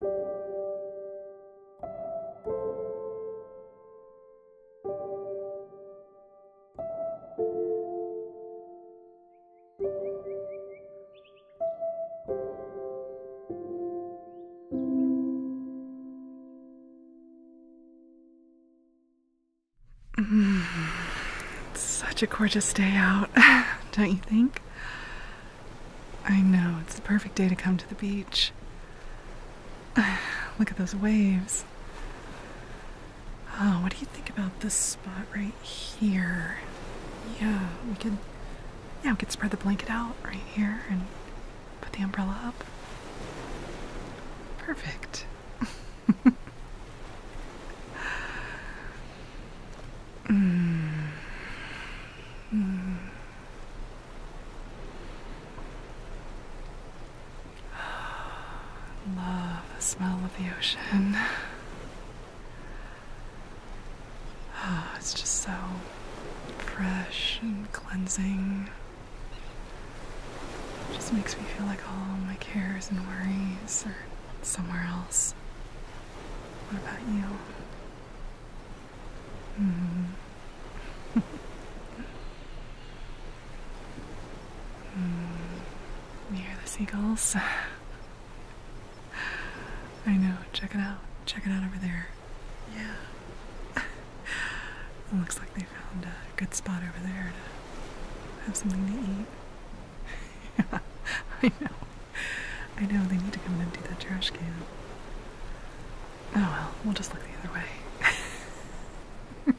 Mm, such a gorgeous day out, don't you think? I know, it's the perfect day to come to the beach. Look at those waves. Oh, what do you think about this spot right here? Yeah, we could yeah, we could spread the blanket out right here and put the umbrella up. Perfect. mm. Mm. Love the smell of the ocean. Oh, it's just so fresh and cleansing. It just makes me feel like all my cares and worries are somewhere else. What about you? We mm. hear the seagulls? I know. Check it out. Check it out over there. Yeah. it looks like they found a good spot over there to have something to eat. yeah, I know. I know they need to come and empty that trash can. Oh well, we'll just look the other way.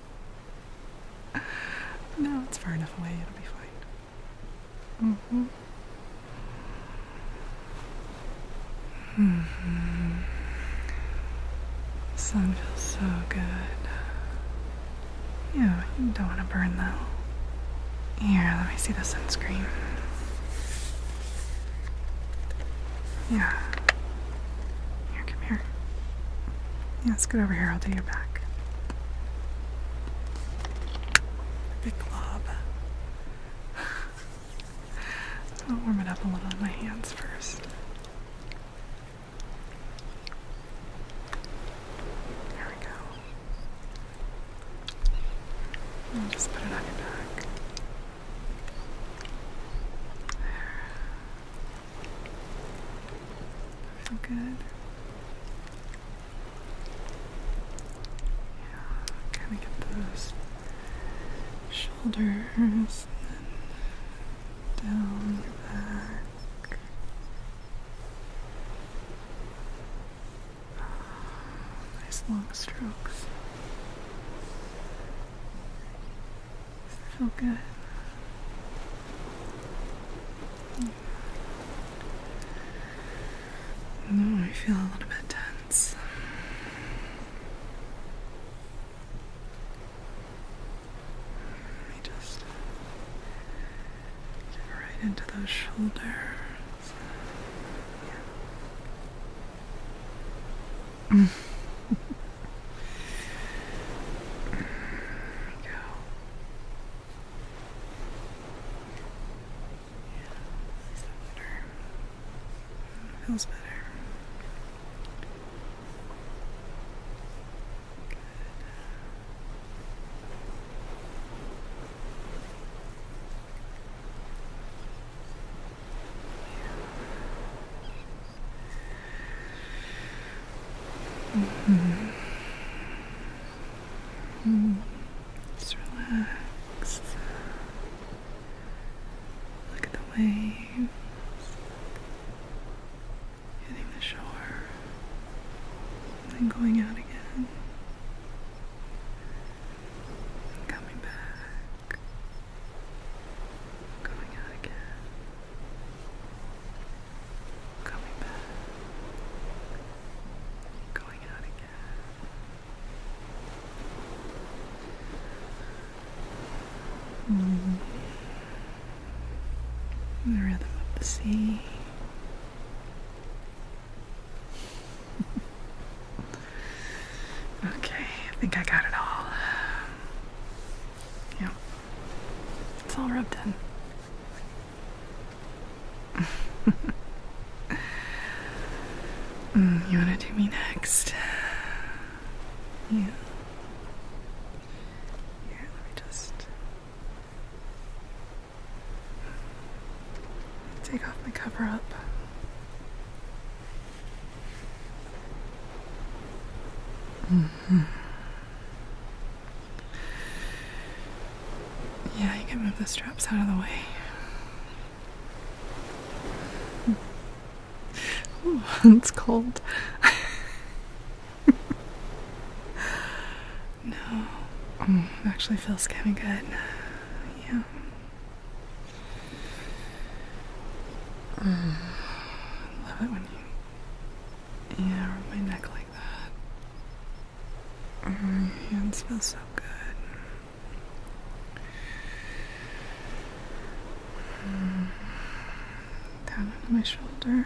no, it's far enough away, it'll be fine. Mm-hmm. Mm hmm the Sun feels so good. Yeah, you don't want to burn though. Here, let me see the sunscreen. Yeah. Here, come here. Yeah, let's get over here. I'll do your back. Big glob. I'll warm it up a little on my hands first. There we go just put it on your back. There. Feel good. Yeah, kind of get those shoulders and down your back. Nice long strokes. feel good. I feel a little bit tense. Let me just right into those shoulders there we go. Yeah, is better? Feels better. Just relax. Look at the waves hitting the shore and then going out again. Coming back. Going out again. Coming back. Going out again. Mm. The rhythm of the sea okay, I think I got it all. Yep, it's all rubbed in. Mm, you want to do me next? Yeah. Yeah, let me just Take off my cover up. Mm-hmm. Yeah, you can move the straps out of the way. it's cold. no, mm, actually feels kind of good. Yeah. Mm. Love it when you, yeah, rub my neck like that. Mm, your hands so good. Mm. Down on my shoulders.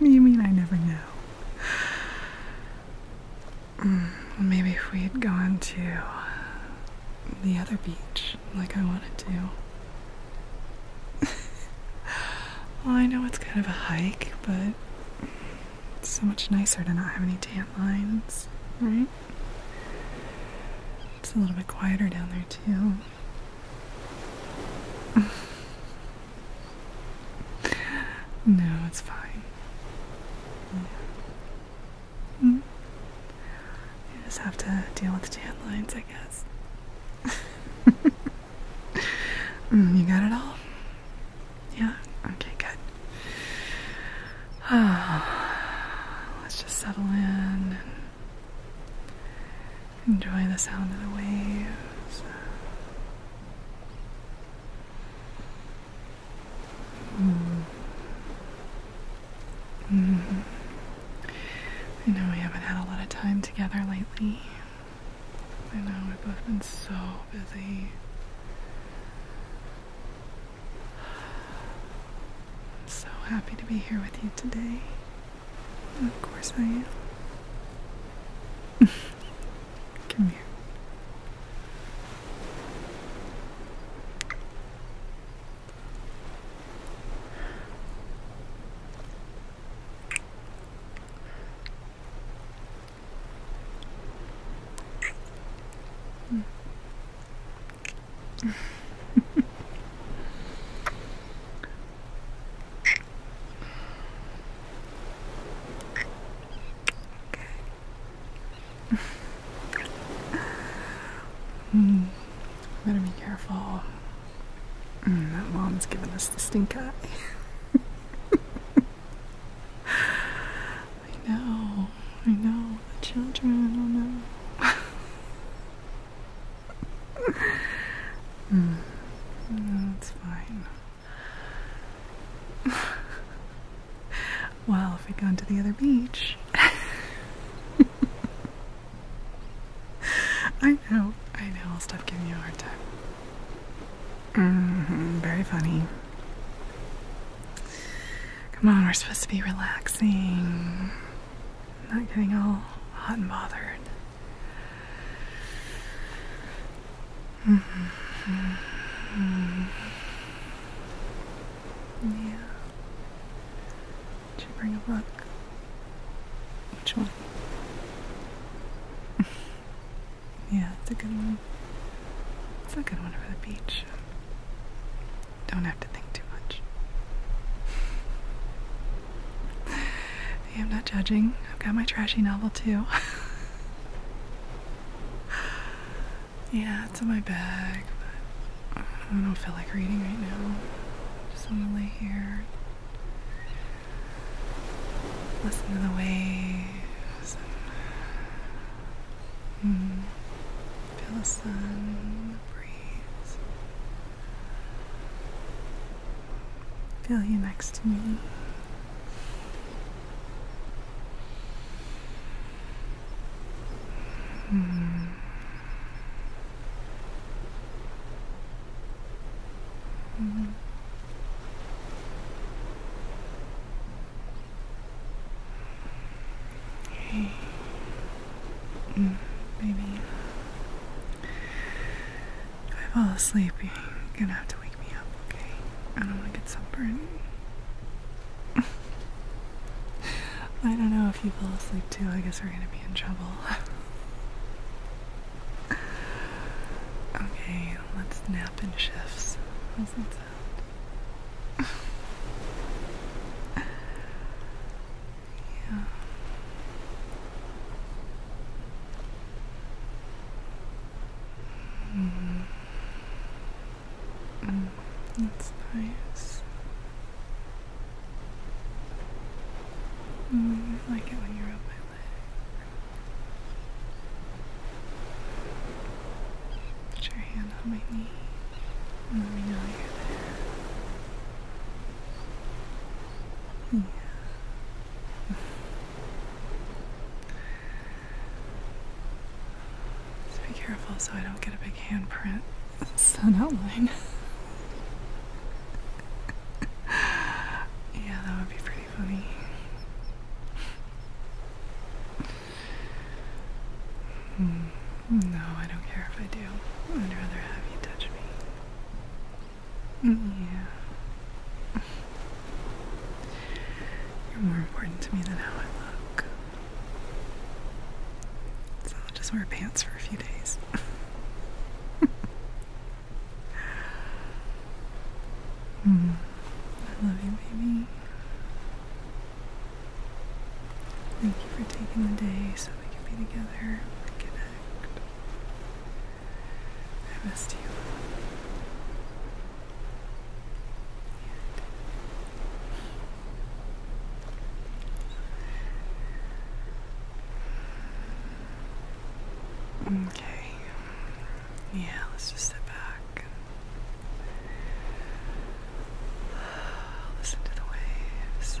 You mean I never know? Hmm, maybe if we had gone to the other beach like I wanted to. I know it's kind of a hike, but it's so much nicer to not have any tan lines, right? It's a little bit quieter down there, too. no, it's fine. Mm. You just have to deal with the tan lines, I guess. Mm, you got it all? Yeah? Okay, good. let's just settle in and enjoy the sound of the waves. Mm. Mm. I know we haven't had a lot of time together lately. I know we've both been so busy. I'm so happy to be here with you today. Of course I am. Come here. Okay. mm, I'm gonna be careful. Hmm, that mom's giving us the stink eye. I know, I know, the children, I don't know. That's hmm. fine. well, if we'd gone to the other beach. I know, I know, I'll stop giving you a hard time. Mm-hmm, very funny. Come on, we're supposed to be relaxing. Not getting all hot and bothered. -hmm. Yeah. Did you bring a book? Which one? yeah, it's a good one. It's a good one for the beach. Don't have to think too much. I'm not judging. I've got my trashy novel too. yeah, it's in my bag, but I don't feel like reading right now. Just want to lay here, listen to the waves, mm, feel the sun, the breeze. Feel you next to me. Hmm. Hmm. Hey. Mm, baby. If I fall asleep, you're gonna have to wake me up, okay? I don't wanna get sunburned. I don't know if you fall asleep too. I guess we're gonna be in trouble. okay, let's nap in shifts. How's that yeah. Mm. Mm. That's nice. Mm, I like it when you rub my leg. Put your hand on my knee let me know you're there. Yeah. Just be careful so I don't get a big handprint. Sun outline. yeah, that would be pretty funny. Hmm. no, I don't care if I do. I'd rather have you touch me. Yeah. You're more important to me than how I look. So I'll just wear pants for a few days. mm. I love you, baby. Thank you for taking the day so we can be together connect. I missed you. okay. Yeah, let's just sit back. Listen to the waves.